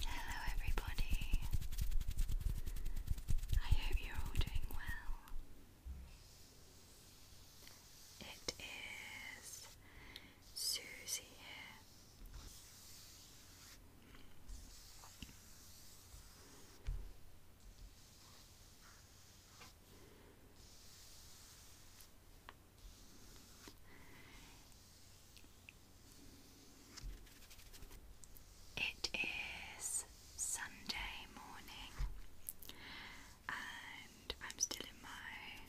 Hello, everybody. I hope you're all doing well. It is Susie here. It is Sunday morning, and I'm still in my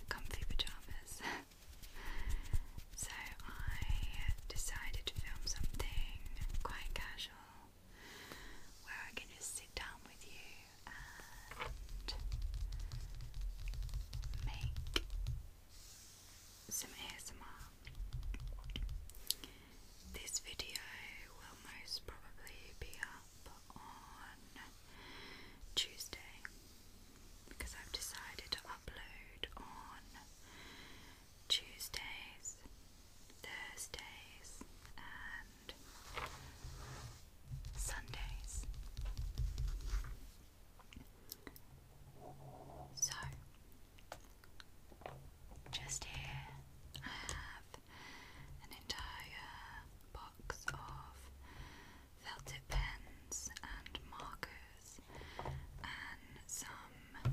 comfy pajamas. so I decided to film something quite casual where I can just sit down with you and make some ASMR. This video will most probably be up on Tuesday because I've decided to upload on Tuesdays, Thursdays, and Sundays. So, just here I have an entire box of felt tip pens and markers and some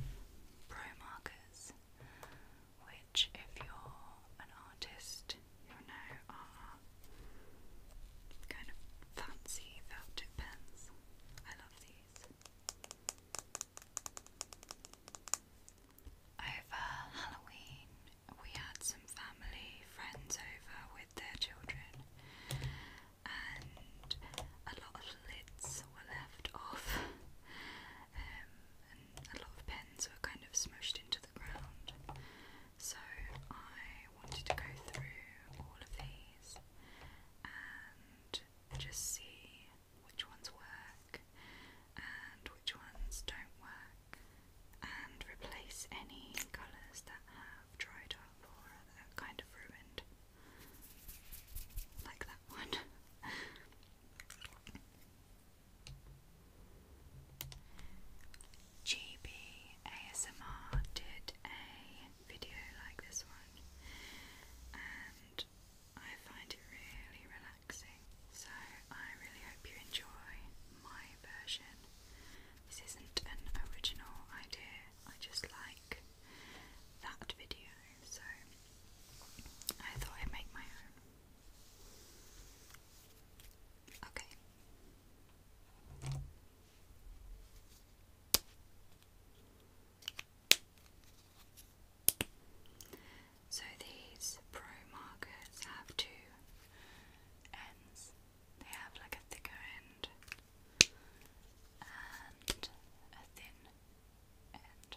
pro markers, which, if you're an artist, you know are kind of fancy felt tip pens. I over Halloween, we had some family friends over with their children, and a lot of lids were left off, um, and a lot of pens were kind of smushed into the ground. So I wanted to go through all of these these and just see which ones work and which ones don't work, and replace any colours that have dried up or are kind of ruined, like that one. GB did a video like this one, and I find it really relaxing. So, I really hope you enjoy my version. This isn't an original idea, I just like that video, so I thought I'd make my own. Okay. So these pro markers have two ends. They have like a thicker end and a thin end.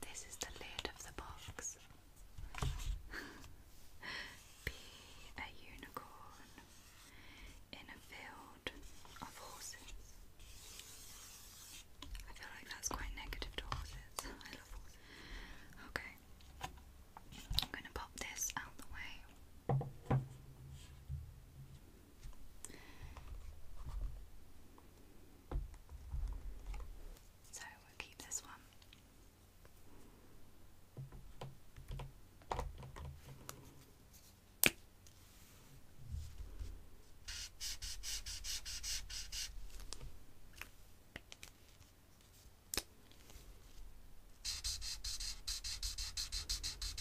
This is the lid of the box. Be a unicorn in a field of horses. I feel like that's quite negative horses. I love horses. Okay. I'm going to pop this out the way. So we keep this one.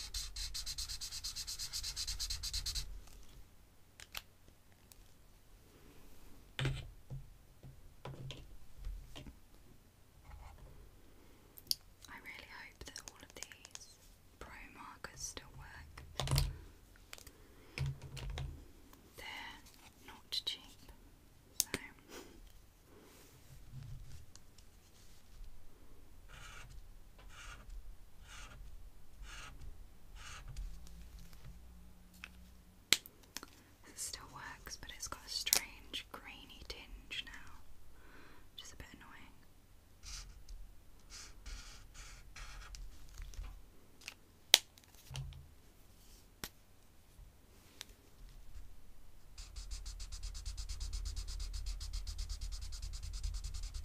I really hope that all of these pro markers still work. They're not cheap, so it still works, but it's got a strange grainy tinge now, which is a bit annoying.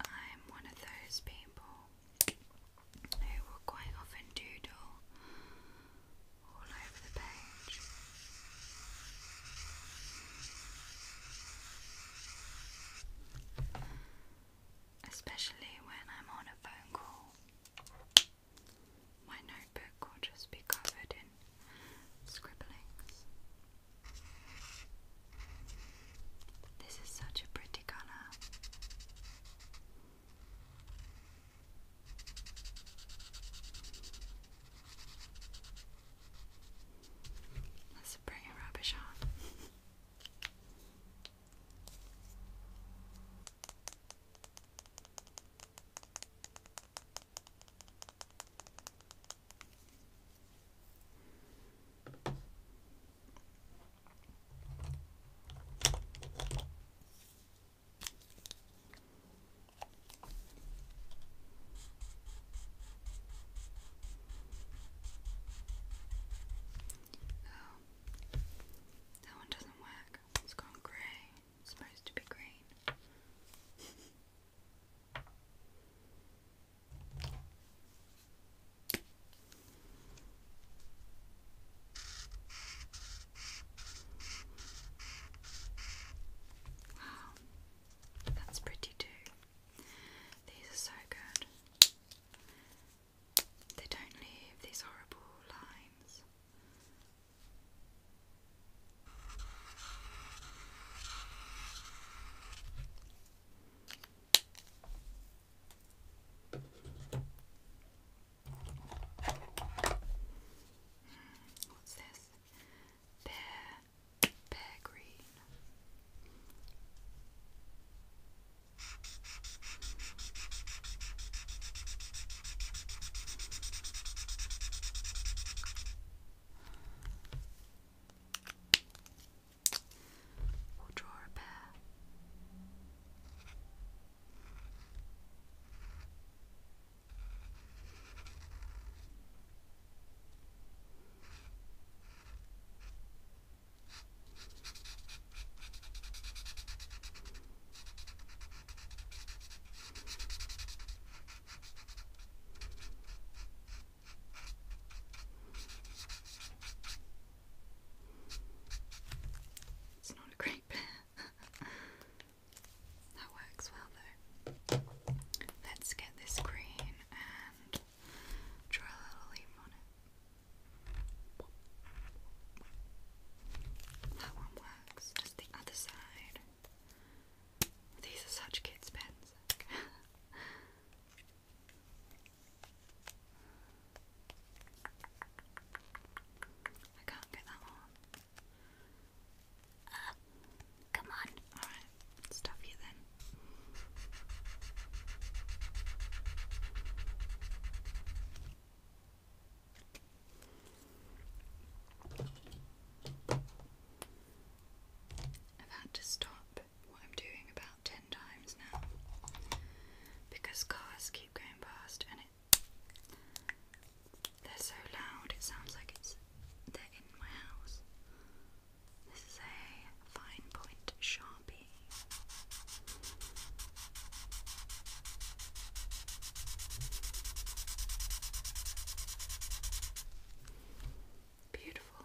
I'm one of those people who will quite often doodle all over the page. Especially when I'm on a phone call, my notebook will just be covered in scribblings. This is such a pretty colour. Let's bring a rubbish on. Oh, that one doesn't work. It's gone grey. supposed to be green. Wow, that's pretty too. These are so good. They don't leave these horrible lines. Hmm, what's this? Bear, pear green. We'll draw a pair. It's not a great pair. That works well though. Let's get this green and draw a little leaf on it. That one works. Just the other side. These are such kids' pens. I can't get that on. Uh, come on. Alright, stuff you then. I've had to stop what I'm doing about 10 times now because cars keep going past and it they're so loud, it sounds like it's they're in my house. This is a fine point sharpie. Beautiful.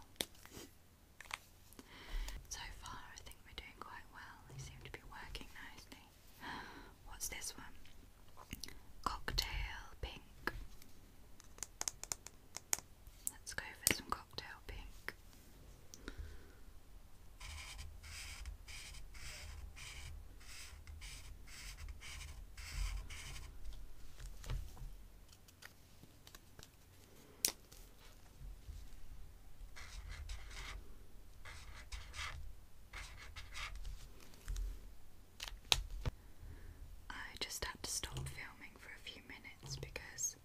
So far, I think we're doing quite well. They seem to be working nicely. What's this one? Cocktail pink. Let's go for some cocktail pink. I just had to stop filming for a few minutes because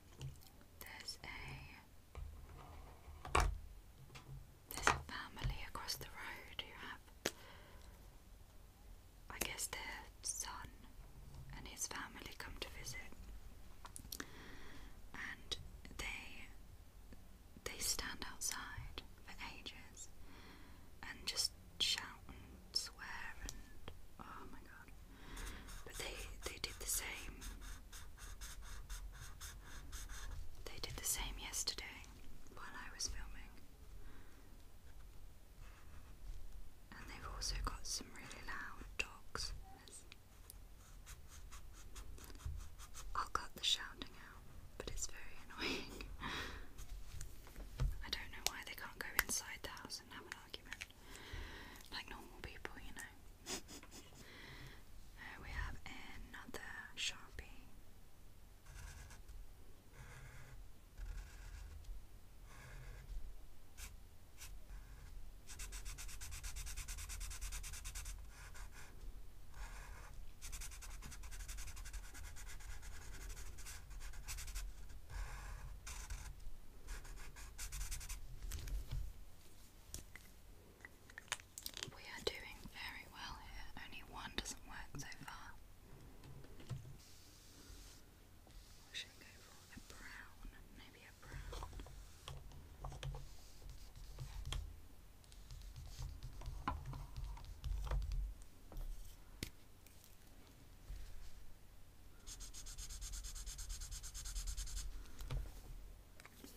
there's a there's a family across the road who have I guess their son and his family come to visit and they they stand outside for ages and just shout and swear and oh my god. But they they did the same. They did the same yesterday while I was filming. And they've also got some really loud dogs. I'll cut the shouting out but it's very annoying. I don't know why they can't go inside the house and have an argument like normal people, you know. Uh, we have another Sharpie. We are doing very well here, only one doesn't work so far. should I go for? A brown, maybe a brown.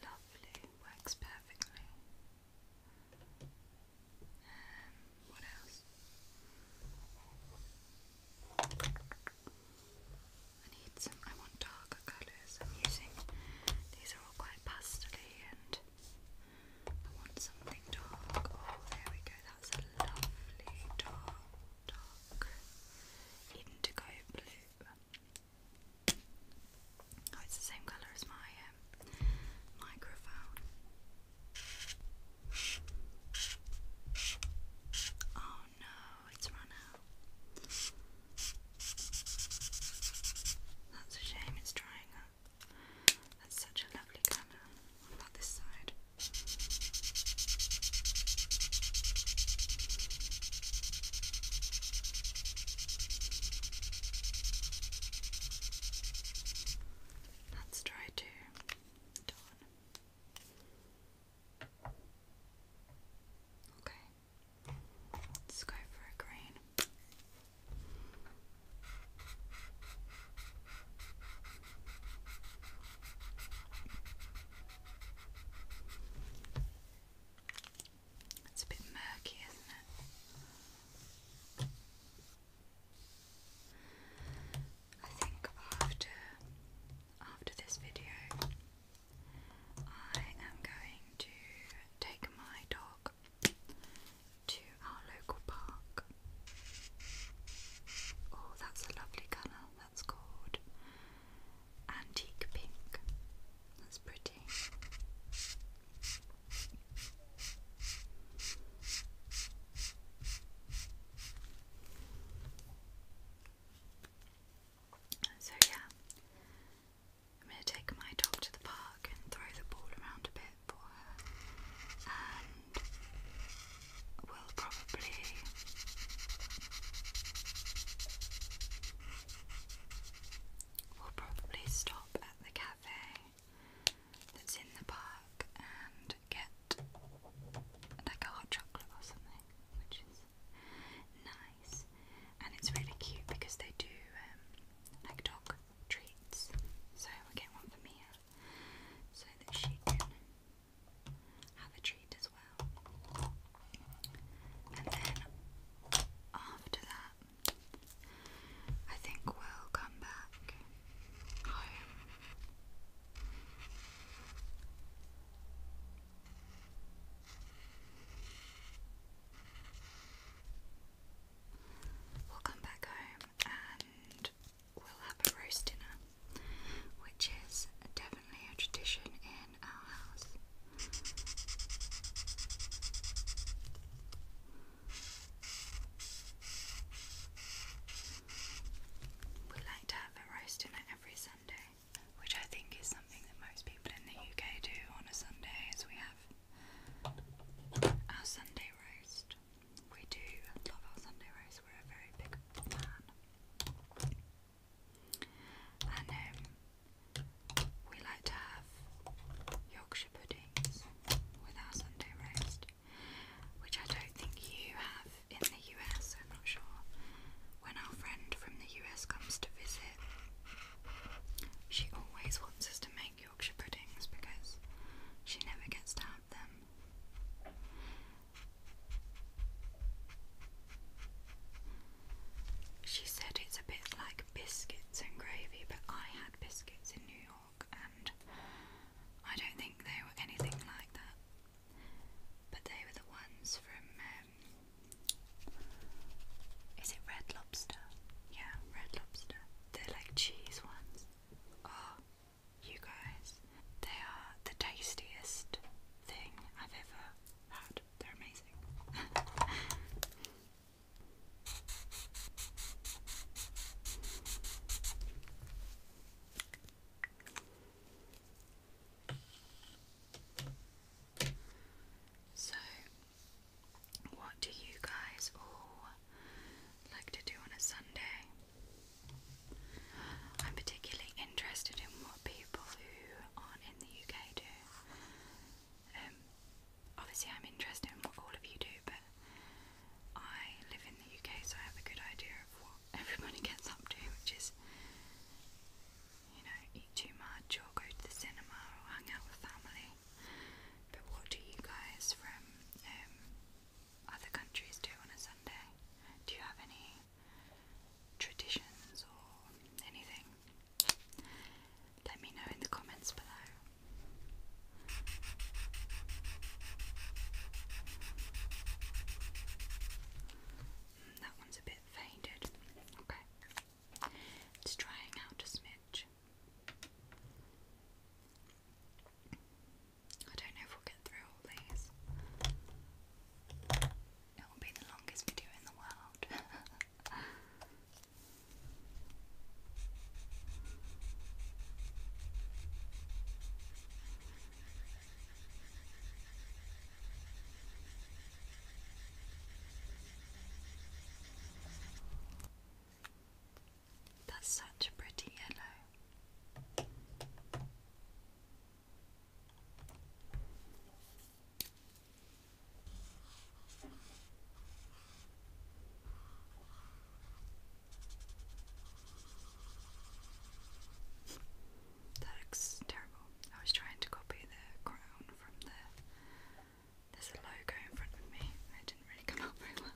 Lovely, works perfectly. Um, what else? I need some. I want darker colours. I'm using these are all quite pastely and I want something dark. Oh, there we go. That's a lovely dark, dark indigo blue. Oh, it's the same colour as my um, microphone. Oh no, it's run out. That's a shame, it's drying up. That's such a lovely colour. What about this side? Let's try to Okay. Let's go for a green. It's a bit murky, isn't it? I think after after this video I am going to take my dog to our local park. Oh, that's a lovely colour. That's called antique pink. That's pretty. So, yeah, I'm going to take my dog to the park and throw the ball around a bit for her, and will probably will probably stop at the cafe that's in the park and get like a hot chocolate or something, which is nice. And it's really cute because they do um, like dog treats. So we get one for Mia so that she can have a treat as well. And then after that, I think we'll come back home. We'll come back home and we'll have a roast dinner, which is definitely a tradition in our house. We like to have a roast dinner every Sunday, which I think is something that most people in the UK do on a Sunday, as we have our Sunday roast. We do love our Sunday roast, we're a very big fan. And um, we like to have Yorkshire puddings with our Sunday roast, which I don't think you have in the US, I'm not sure. When our friend from the US comes to visit, she always wants us to make. Yorkshire puddings because she never gets to have them. She said it's a bit like biscuits and gravy, but I had biscuits in New York and I don't think they were anything like that. But they were the ones from, um, is it Red Lobster? Yeah, Red Lobster. They're like cheese ones. Oh, you guys, they are the tastiest thing I've ever had. They're amazing. So what do you guys all like to do on a Sunday? I'm particularly interested in what people who aren't in the UK do. Um, obviously, I'm interested in what all of you do, but I live in the UK, so I have a good idea of what everybody gets up to, which is, you know, eat too much or go to the cinema or hang out with family. But what do you guys from um, other countries do on a Sunday? Do you have any traditions or anything? Let me know in the comments below. Mm, that one's a bit faded. Okay. Let's out a smidge. I don't know if we'll get through all these. It will be the longest video in the world. That's such a pretty yellow. That looks terrible. I was trying to copy the crown from the there's a logo in front of me. It didn't really come out very well.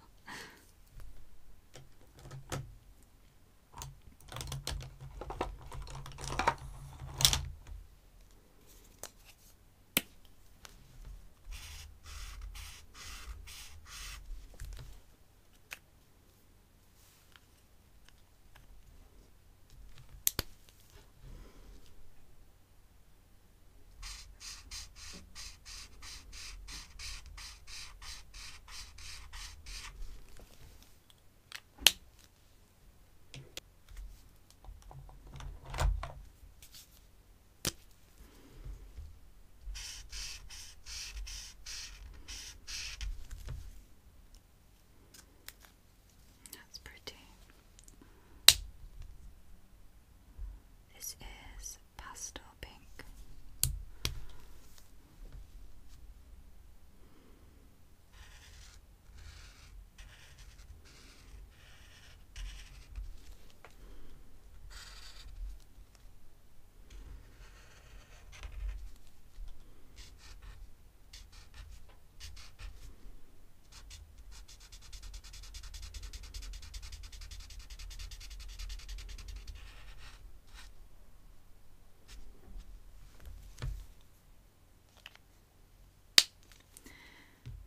That's pretty. This is pastel pink.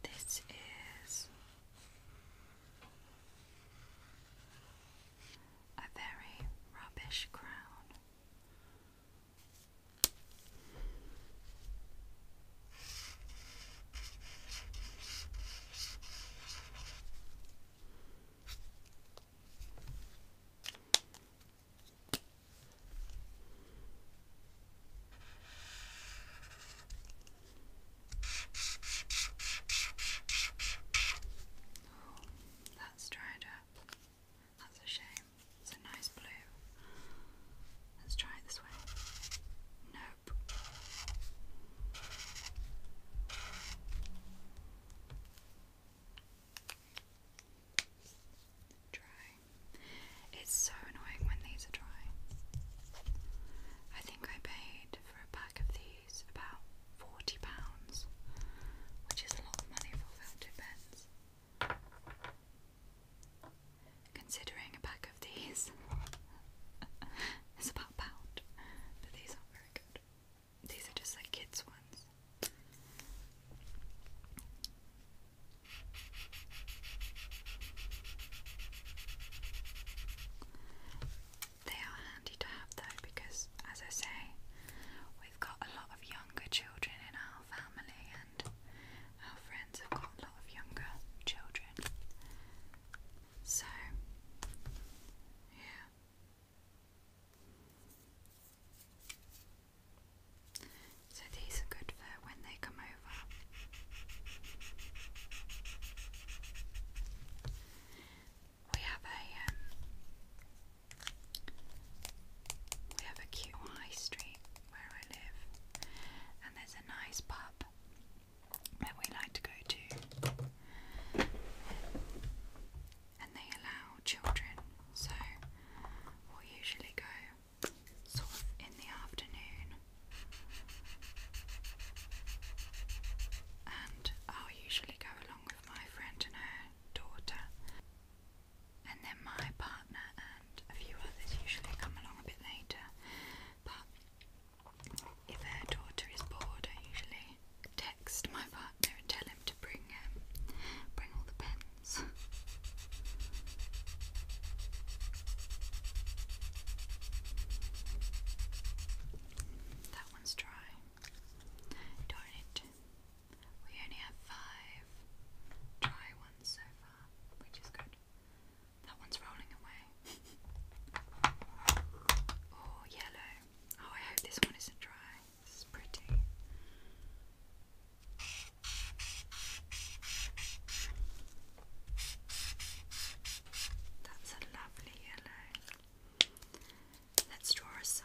This is a very rubbish crown. Oh, that's dried up. That's a shame. It's a nice blue. Let's try it this way. No, it's so annoying when these are dry. I think I paid for a pack of these about forty pounds, which is a lot of money for filter pens considering a pack of these is about pound, but these aren't very good. These are just like kids' ones. They are handy to have though because, as I say, we've got a lot of younger children in our family, and our friends have got a lot of younger children. So, yeah. So these are good for when they come over. We have a um, we have a cute high street where I live, and there's a nice pub that we like to go to, and they allow children, so we usually go sort of in the afternoon, and I'll usually go along with my friend and her daughter. And then my partner and a few others usually come along a bit later. But if her daughter is bored, I usually text my partner and tell him to bring um, bring all the pens. that one's dry. Darn it. We only have five dry ones so far, which is good. That one's rolling away. oh, yellow. Oh, I hope this one isn't dry. This is pretty. That's a lovely yellow. Let's draw a sun.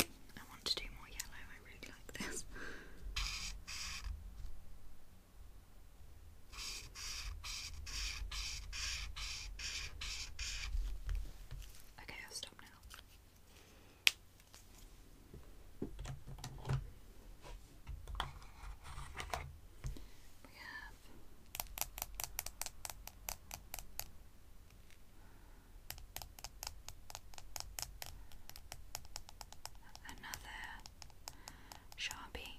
I want to do more yellow, I really like this. Okay, I'll stop now. We have Another Sharpie.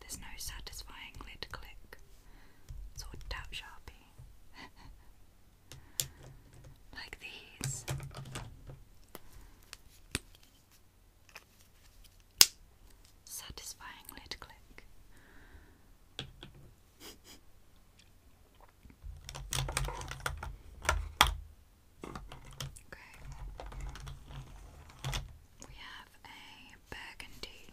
There's no satisfying lid click. Sort of tap sharpie. like these. Satisfying lid click. okay. We have a burgundy.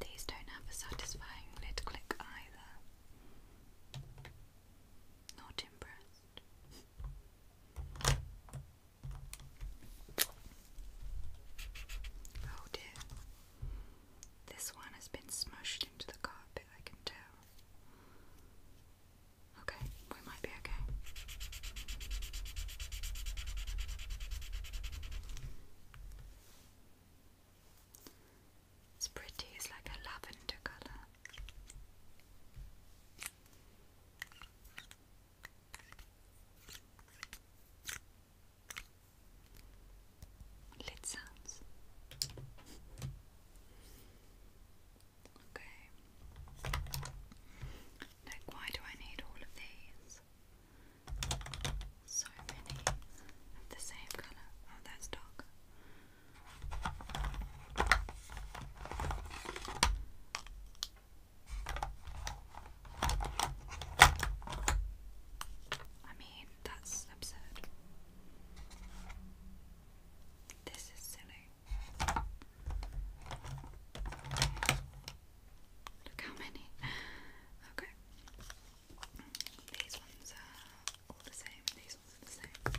These don't have a satisfying lid click either. Not impressed. Oh dear. This one has been smushed into the carpet, I can tell. Okay, we might be okay. It's pretty, it's like a lavender colour. Lid sounds. Okay. Like, why do I need all of these? So many of the same colour. Oh, that's dark. I mean, that's absurd. This is silly. Look how many. Okay. These ones are all the same. These ones are the same.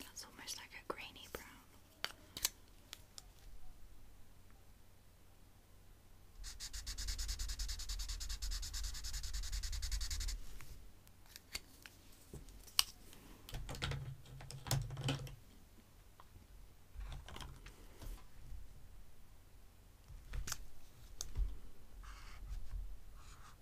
That's almost like a grainy brown.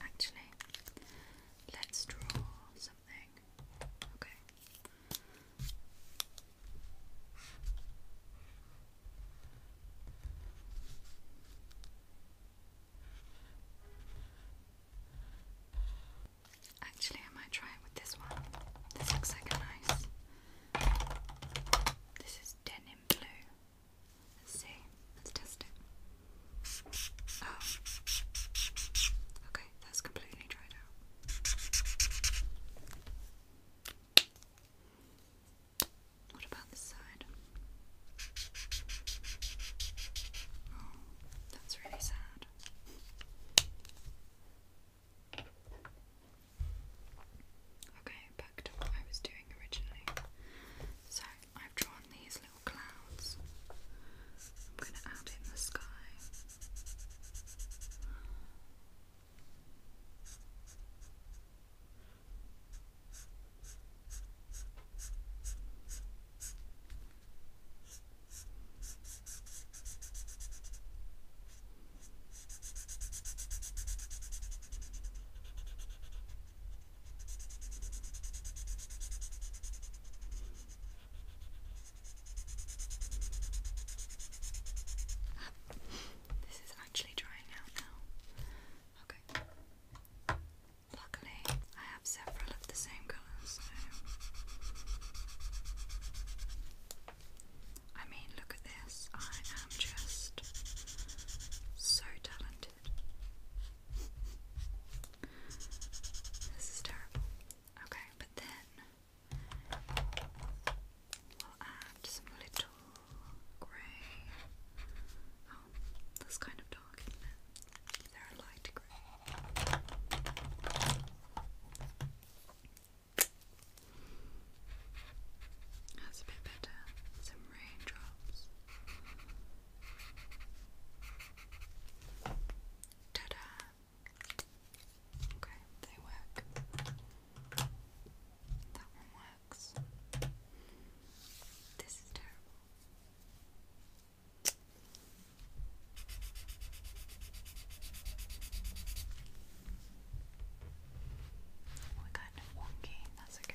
Actually, let's draw something. Okay. Actually, I might try it with this one. This looks like a nice this is denim blue. Let's see. Let's test it. Oh. Okay, that's completely dried out. What about this side? Oh, that's really sad. Okay, back to what I was doing originally. So I've drawn these little clouds. I'm going to add in the sky. This is actually drying out now. Okay. Luckily, I have several of the same colours, so I mean, look at this. I am just so talented. This is terrible. Okay, but then we'll add some little grey. Oh, that's kind of dark, isn't it? are light grey. That's a bit better. Some raindrops. Ta da! Okay, they work. That one works. This is terrible. Oh, we kind of wonky, that's Okay.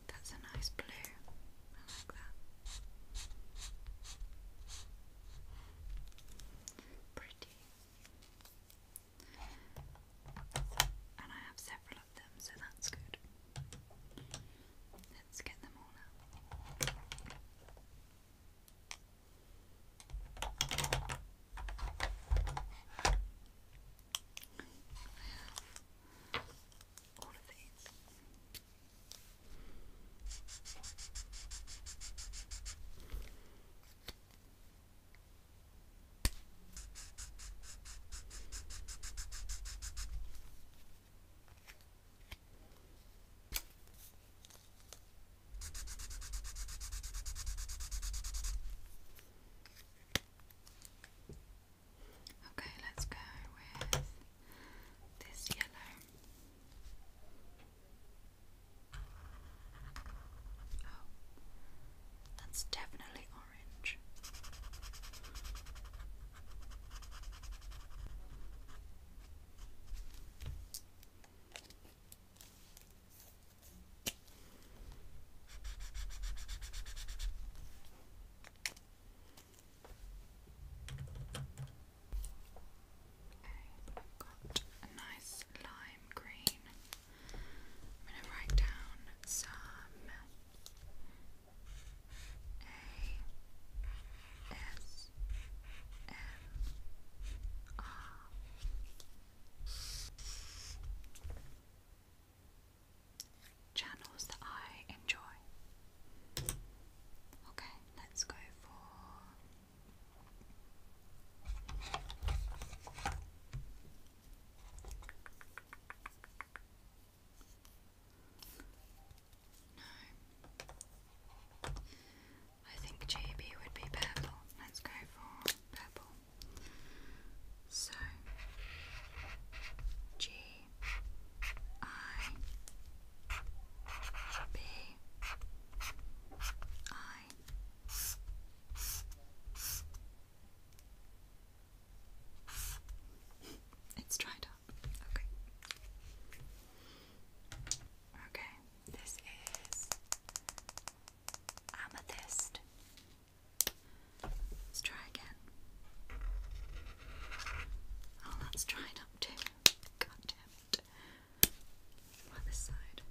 That's a nice blue. I like that. Pretty. And I have several of them, so that's good. Let's get them all out. I all of these. Okay. Okay, let's go with this yellow. Oh, that's definitely orange. Okay, i got a nice lime green. I'm going to write down some A S M R channels that I enjoy. Okay, let's go for no. I think GB would be purple. Let's go for purple. So, G I B I It's dried up. Okay. Okay, this is amethyst. Let's try again. Oh, that's dried up too. God damn side.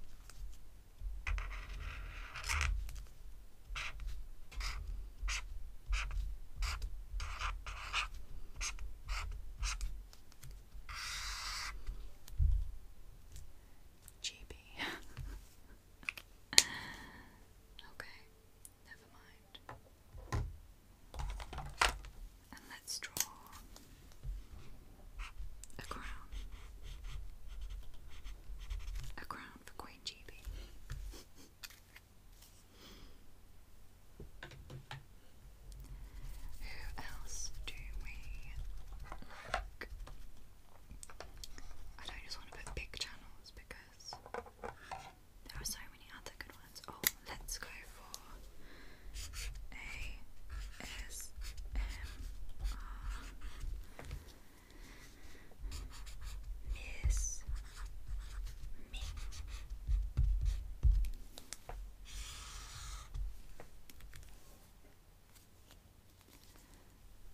GB. okay. Never mind. And let's draw a crown. A crown for Queen Chibi. Who else do we I don't just want to put big channels because there are so many other good ones. Oh, let's go for A S M R Miss Me.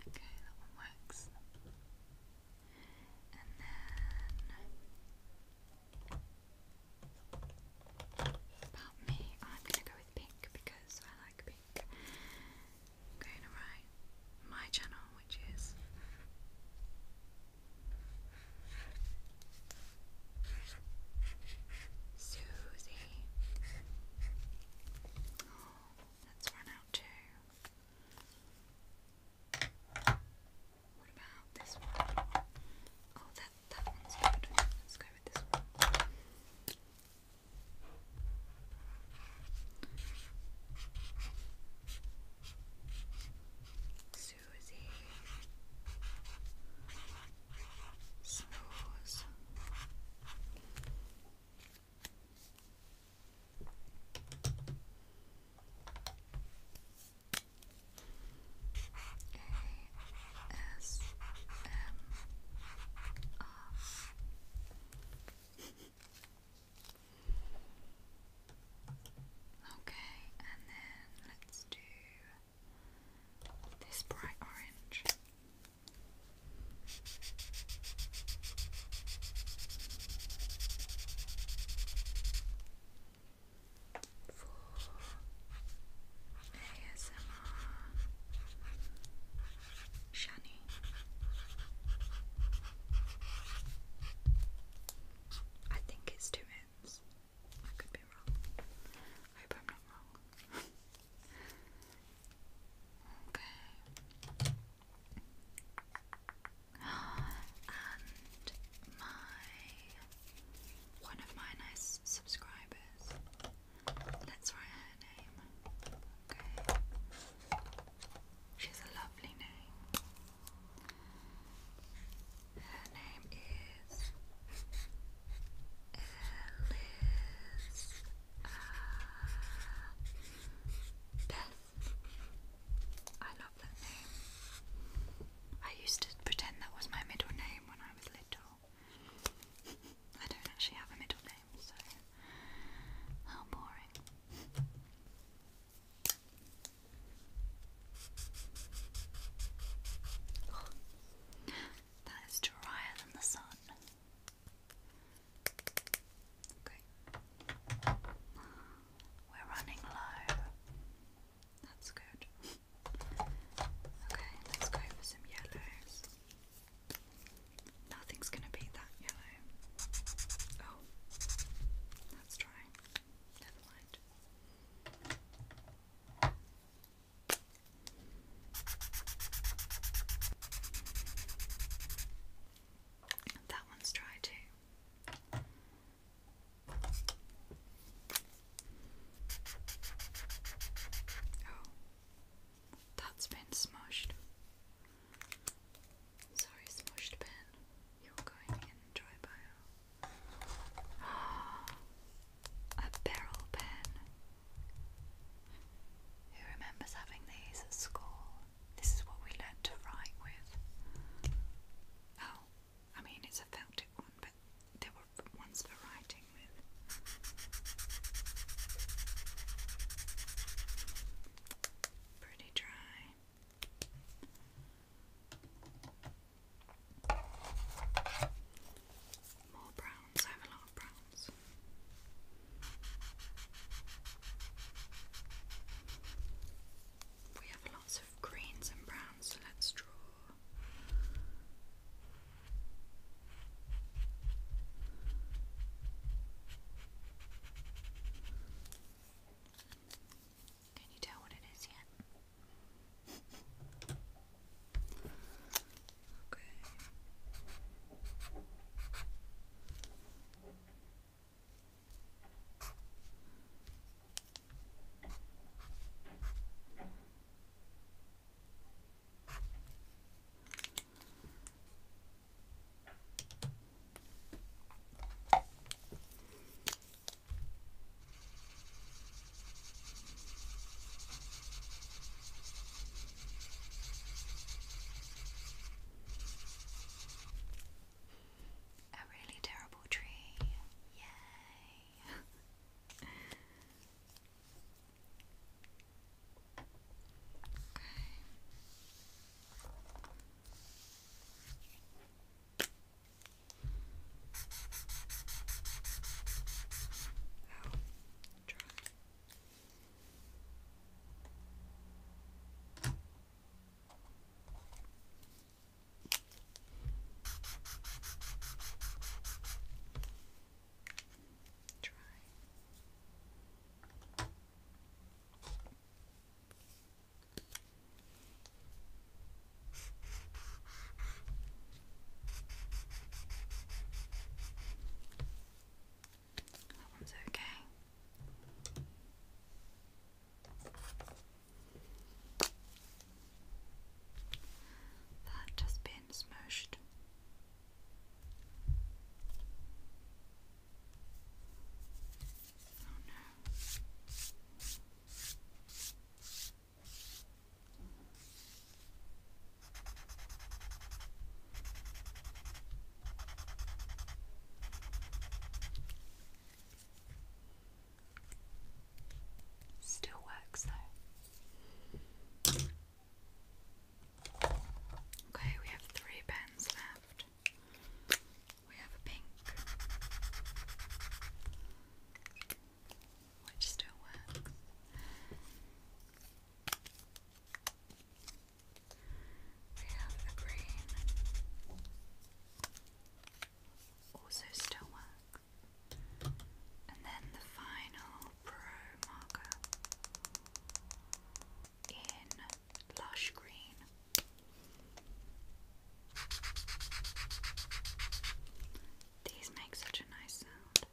Okay, that one works. And then about me, I'm gonna go with pink because I like pink. I'm going to write my channel, which is Susie. Oh, that's run out too. What about this one? Oh, that that one's good. Let's go with this one. Susie Snooze. S M R. okay, and then let's do this bright orange for ASMR Shani. I think it's two minutes. I could be wrong. hope I'm not wrong. okay and my one of my nice subscribers. Let's write her name. Okay. She's a lovely name. Her name is Elizabeth. I love that name. I used to pretend that was my middle name when I was little. I don't actually have a middle name, so how boring. that is drier than the sun. Okay. We're running low. That's good. Okay, let's go for some yellows. Nothing's gonna beat that yellow. Oh, that's dry. Never mind. That one's dry too. Oh, that's been smushed. Sorry, smushed pen. You're going in dry bio. A barrel pen. Who remembers having these at school? This is what we learned to write with. Oh, I mean, it's a felted one, but there were ones for writing with. Pretty dry. More browns, I have a lot of browns. We have lots greens and browns, so let's draw. Can you tell what it is yet? Okay. A really terrible Poetry, Yay. okay. Try. That one's okay. That has been smushed. Oh no. Still works though. Okay, we have three pens left. We have a pink, which still works. We have a green, also still works. And then the final Pro marker in Lush Green. These make such a nice sound.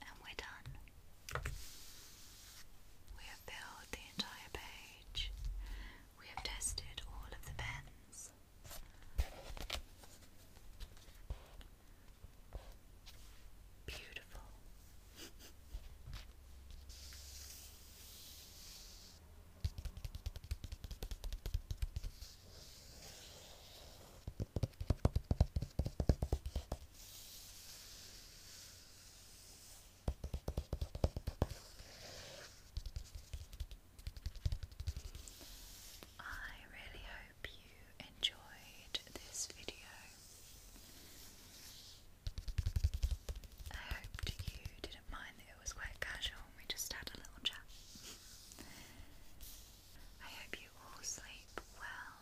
And we're done. We have filled the entire page. We have tested all of the pens. Beautiful. I really hope you enjoyed this video. I hope you did it was quite casual and we just had a little chat. I hope you all sleep well,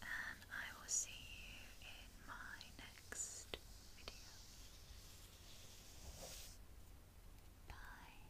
and I will see you in my next video. Bye.